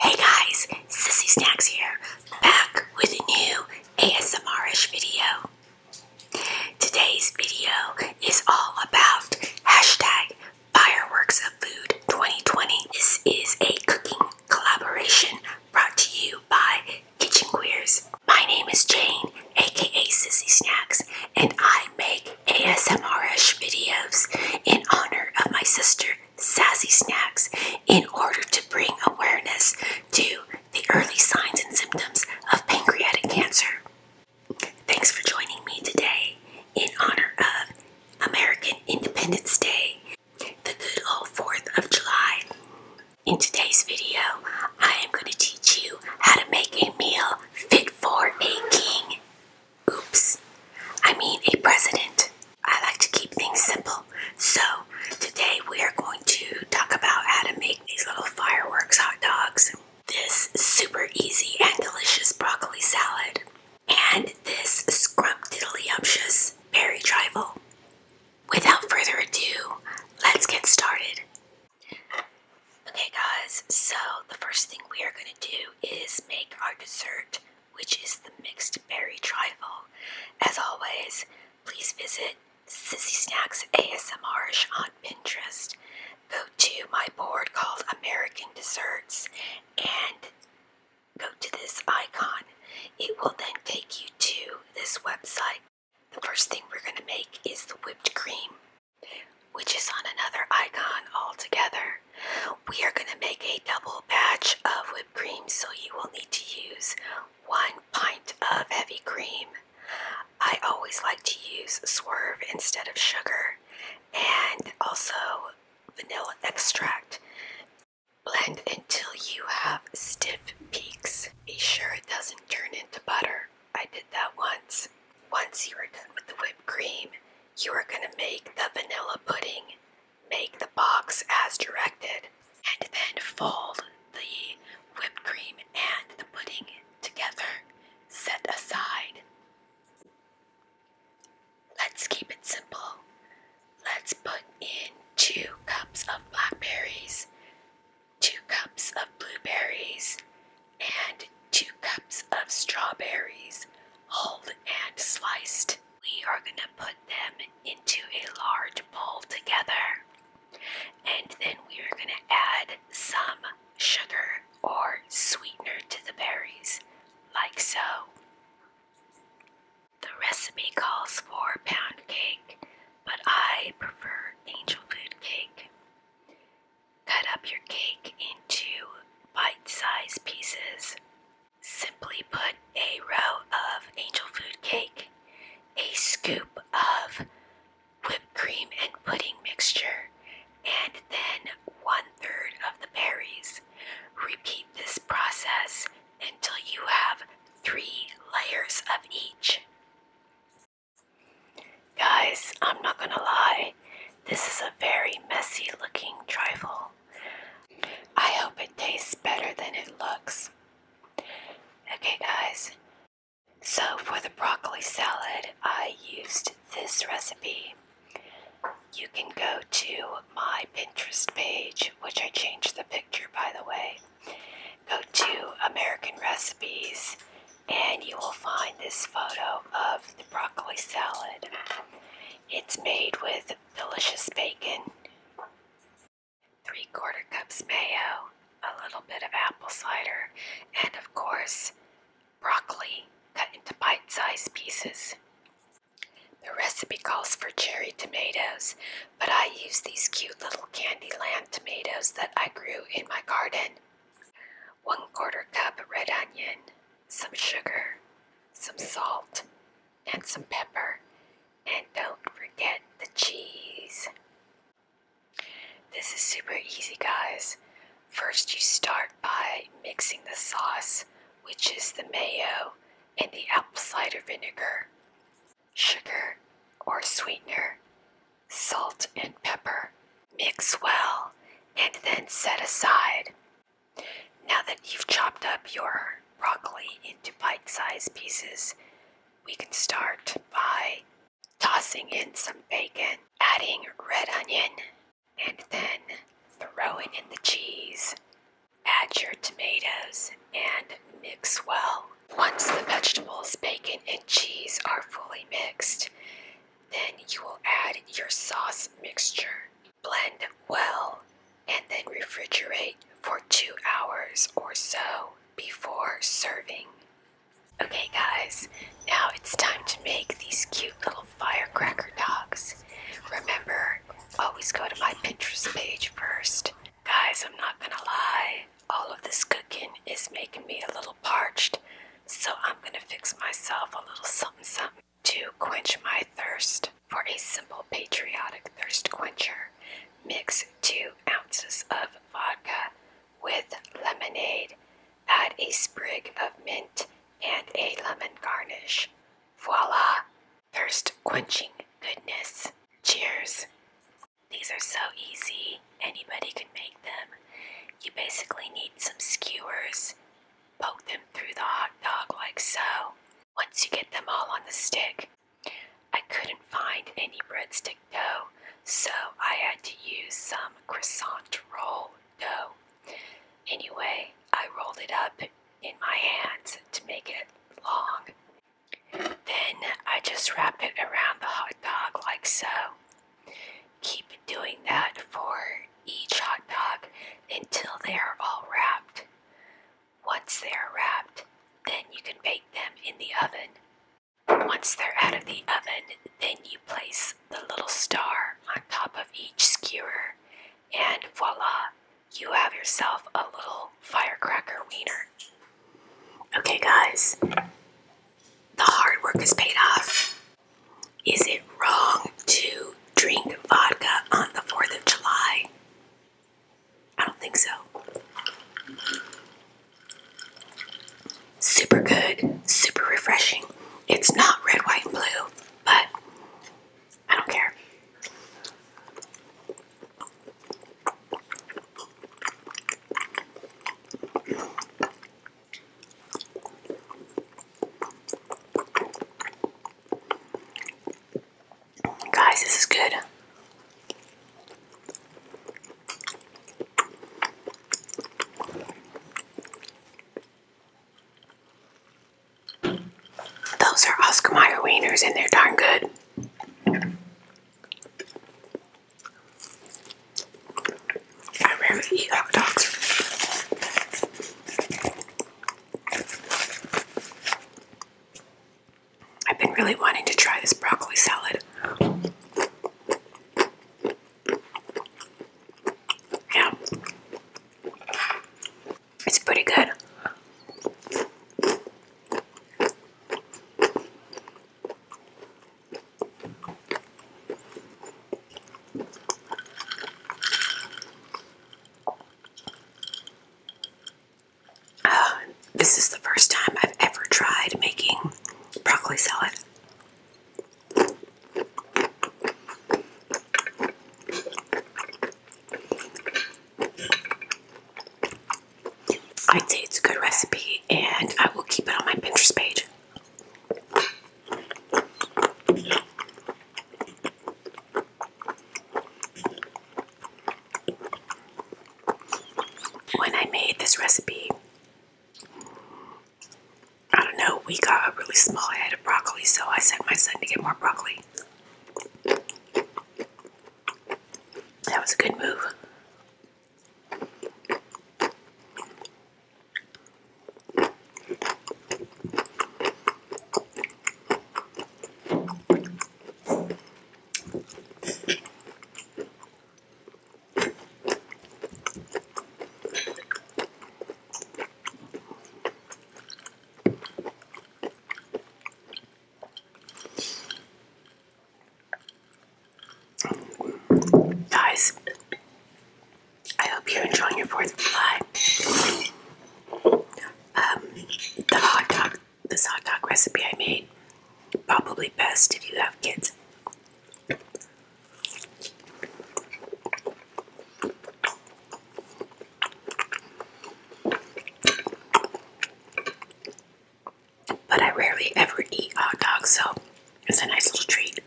Hey guys, Sissy Snacks here, back with a new ASMR-ish video. Today's video is all about hashtag fireworks of food 2020. This is a cooking collaboration brought to you by Kitchen Queers. My name is Jane, aka Sissy Snacks, and I make ASMR-ish videos in honor of my sister Sassy Snacks in order to bring awareness to the early signs and symptoms of pancreatic cancer. Thanks for joining me today in honor of American Independence Day, the good old 4th of July. In today's video, I am going to teach you how to make a meal fit for a king. Oops. I mean a president. I like to keep things simple. So, today we are going to talk about how to make these little fireworks hot dogs, this super easy and delicious broccoli salad, and this scrumptiddlyumptious berry trifle. Without further ado, let's get started. Okay guys, so the first thing we are going to do is make our dessert which is the mixed berry trifle. As always, please visit Sissy Snacks ASMRish on Pinterest. Go to my board called American Desserts and go to this icon. It will then take you to this website. The first thing we're going to make is the whipped cream, which is on another icon altogether. We are going to make a double batch of whipped cream, so you will need to use one pint of heavy cream. I always like to use swerve instead of sugar and also vanilla extract. Blend until you have stiff peaks. Be sure it doesn't turn into butter. I did that once. Once you are done with the whipped cream, you are going to make the vanilla pudding. Make the box as directed, and then fold the whipped cream and the pudding together. Set aside. Let's keep it simple. Let's put in two cups of blackberries, two cups of blueberries, and two cups of strawberries, hulled and sliced. We are going to put them into a large bowl together. And then we are going to add some sugar or sweetener to the berries, like so. The recipe calls for pound cake, but I prefer angel food cake. Cut up your cake into bite sized pieces. Simply put a row of angel food cake, a scoop of whipped cream and pudding mixture, and then one third of the berries. Repeat this process until you have three layers of each. Guys, I'm not gonna lie, this is a very messy looking trifle. I hope it tastes better than it looks. Okay, guys, so for the broccoli salad, I used this recipe. You can go to my Pinterest page, which I changed the picture by the way. Go to American Recipes, and you will find this photo of the broccoli salad. It's made with delicious bacon, three quarter cups mayo, a little bit of apple cider, and of course, broccoli cut into bite sized pieces. The recipe calls for cherry tomatoes, but I use these cute little Candyland tomatoes that I grew in my garden. One quarter cup red onion, some sugar, some salt, and some pepper. And don't forget the cheese. This is super easy, guys. First, you start by mixing the sauce, which is the mayo and the apple cider vinegar, sugar or sweetener, salt, and pepper. Mix well and then set aside. Now that you've chopped up your broccoli into bite sized pieces, we can start by tossing in some bacon, adding red onion, and then throwing in the cheese. Add your tomatoes and mix well. Once the vegetables, bacon, and cheese are fully mixed, then you will add your sauce mixture. Blend well and then refrigerate for two hours or so before serving. Okay, guys, now it's time to make these cute little firecracker dogs. Remember, always go to my Pinterest page first. Guys, I'm not gonna lie, all of this cooking is making me a little parched, so I'm gonna fix myself a little something something. To quench my thirst for a simple patriotic thirst quencher, mix two ounces of vodka with lemonade, add a sprig of mint and a lemon garnish. Voila! Thirst quenching goodness. Cheers! These are so easy, anybody can make them. You basically need some skewers, poke them through the hot dog like so. Once you get them all on the stick, I couldn't find any breadstick dough, so I had to use some croissant roll dough. Anyway, I rolled it up in my hands to make it long. Then I just wrapped it around the hot dog like so. Keep doing that for each hot dog until they are all wrapped. Once they are wrapped, then you can bake them in the oven. Once they're out of the oven, then you place the little star on top of each skewer, and voila, you have yourself a little firecracker wiener. Okay, guys, the hard work is paid off. Is it wrong to drink vodka on the 4th of July? I don't think so. Super good, super refreshing. It's not red, white, and blue, but I don't care. Guys, this is good. Those are Oscar Mayer wieners and they're darn good. I rarely eat hot dogs. I've been really wanting to try this broccoli salad. Yeah. It's pretty good. Uh, this is the first time I've ever tried making broccoli salad. I'd it's a good recipe, and I will keep it on my Pinterest page. When I made this recipe, I don't know, we got a really small head of broccoli, so I sent my son to get more broccoli. That was a good move. Guys, I hope you're enjoying your 4th of July. Um, the this hot dog recipe I made. Probably best if you have kids. But I rarely ever eat hot dogs, so it's a nice little treat.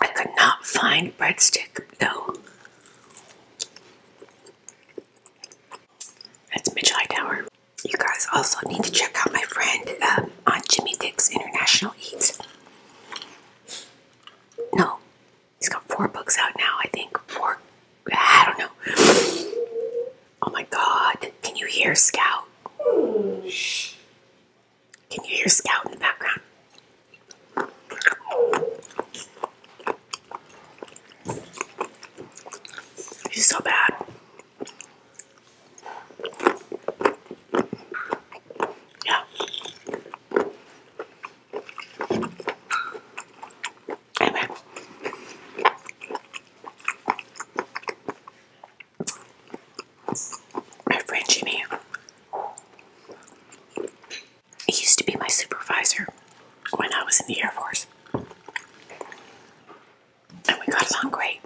I could not find breadstick though. That's Mitch Hightower. You guys also need to check out my friend on um, Jimmy Dick's International Eats. No, he's got four books out now, I think. Four, I don't know. Oh my god, can you hear Scout? Shh. Can you hear Scout in the background? He's so bad. Yeah. Anyway. My friend Jimmy he used to be my supervisor when I was in the Air Force. And we got along great.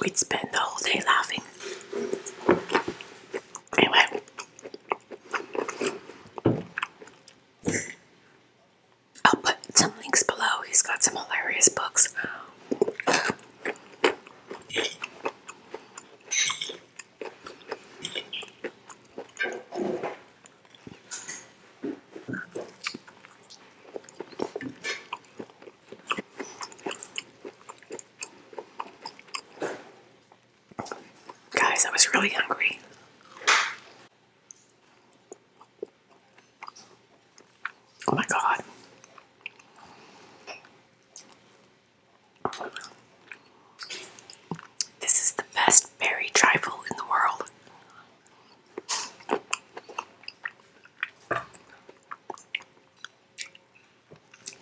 We'd spend the whole day laughing. Anyway, I'll put some links below. He's got some hilarious books. Guys, I was really hungry. Oh my god. This is the best berry trifle in the world.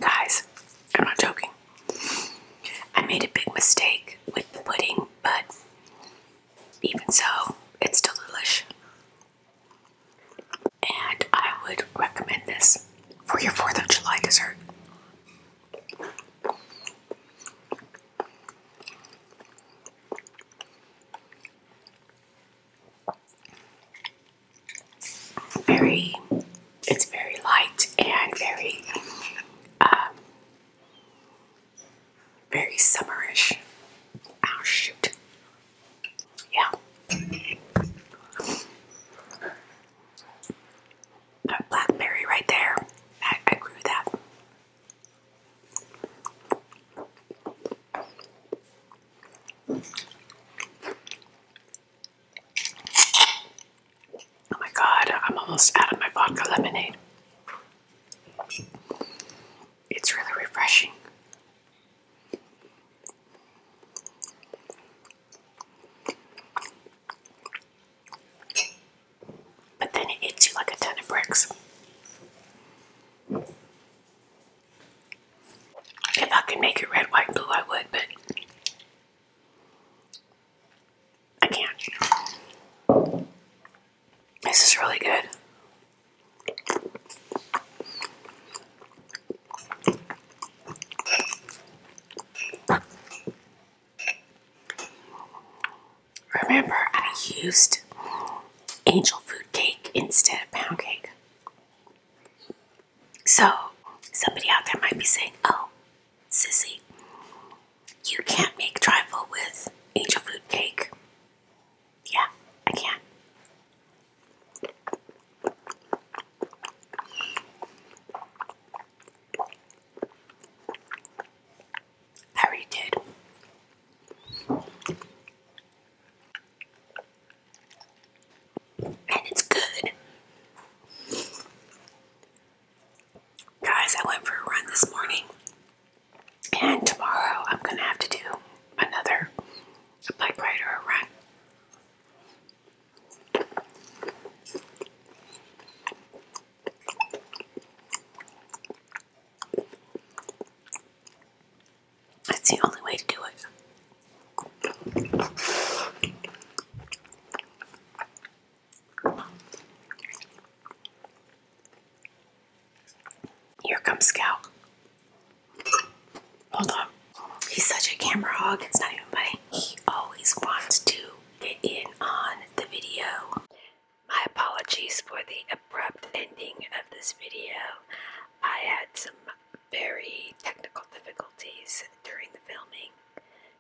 Guys, I'm not joking. I made a big mistake with the pudding, but even so, it's still delicious, And I would recommend this for your 4th of July dessert very, it's very light and very, um, very summerish. Oh shoot. Yeah. blackberry right there. I grew that. Oh my god, I'm almost out of my vodka lemonade. It's really refreshing. But then it hits you like a ton of bricks. If I could make it red, white, blue, I would, but I can't. This is really good. Remember, I used angel food cake instead of pound cake. So, somebody out there might be saying, oh, sissy, you can't make trifle with angel food cake. Yeah, I can. I already did and it's good. Guys, I went for a run this morning, and tomorrow I'm gonna have to do another bike ride or a run. That's the only way to do it. Here comes Scout. Hold on. He's such a camera hog, it's not even funny. He always wants to get in on the video. My apologies for the abrupt ending of this video. I had some very technical difficulties during the filming.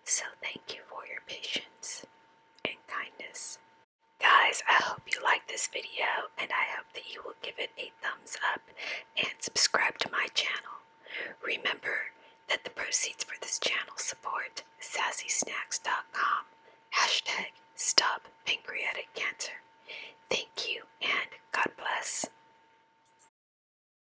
So thank you for your patience and kindness. Guys, I hope you like this video and I hope that you will give it a thumbs up and subscribe to my channel. Remember that the proceeds for this channel support sassysnacks.com. Hashtag stop pancreatic cancer. Thank you and God bless.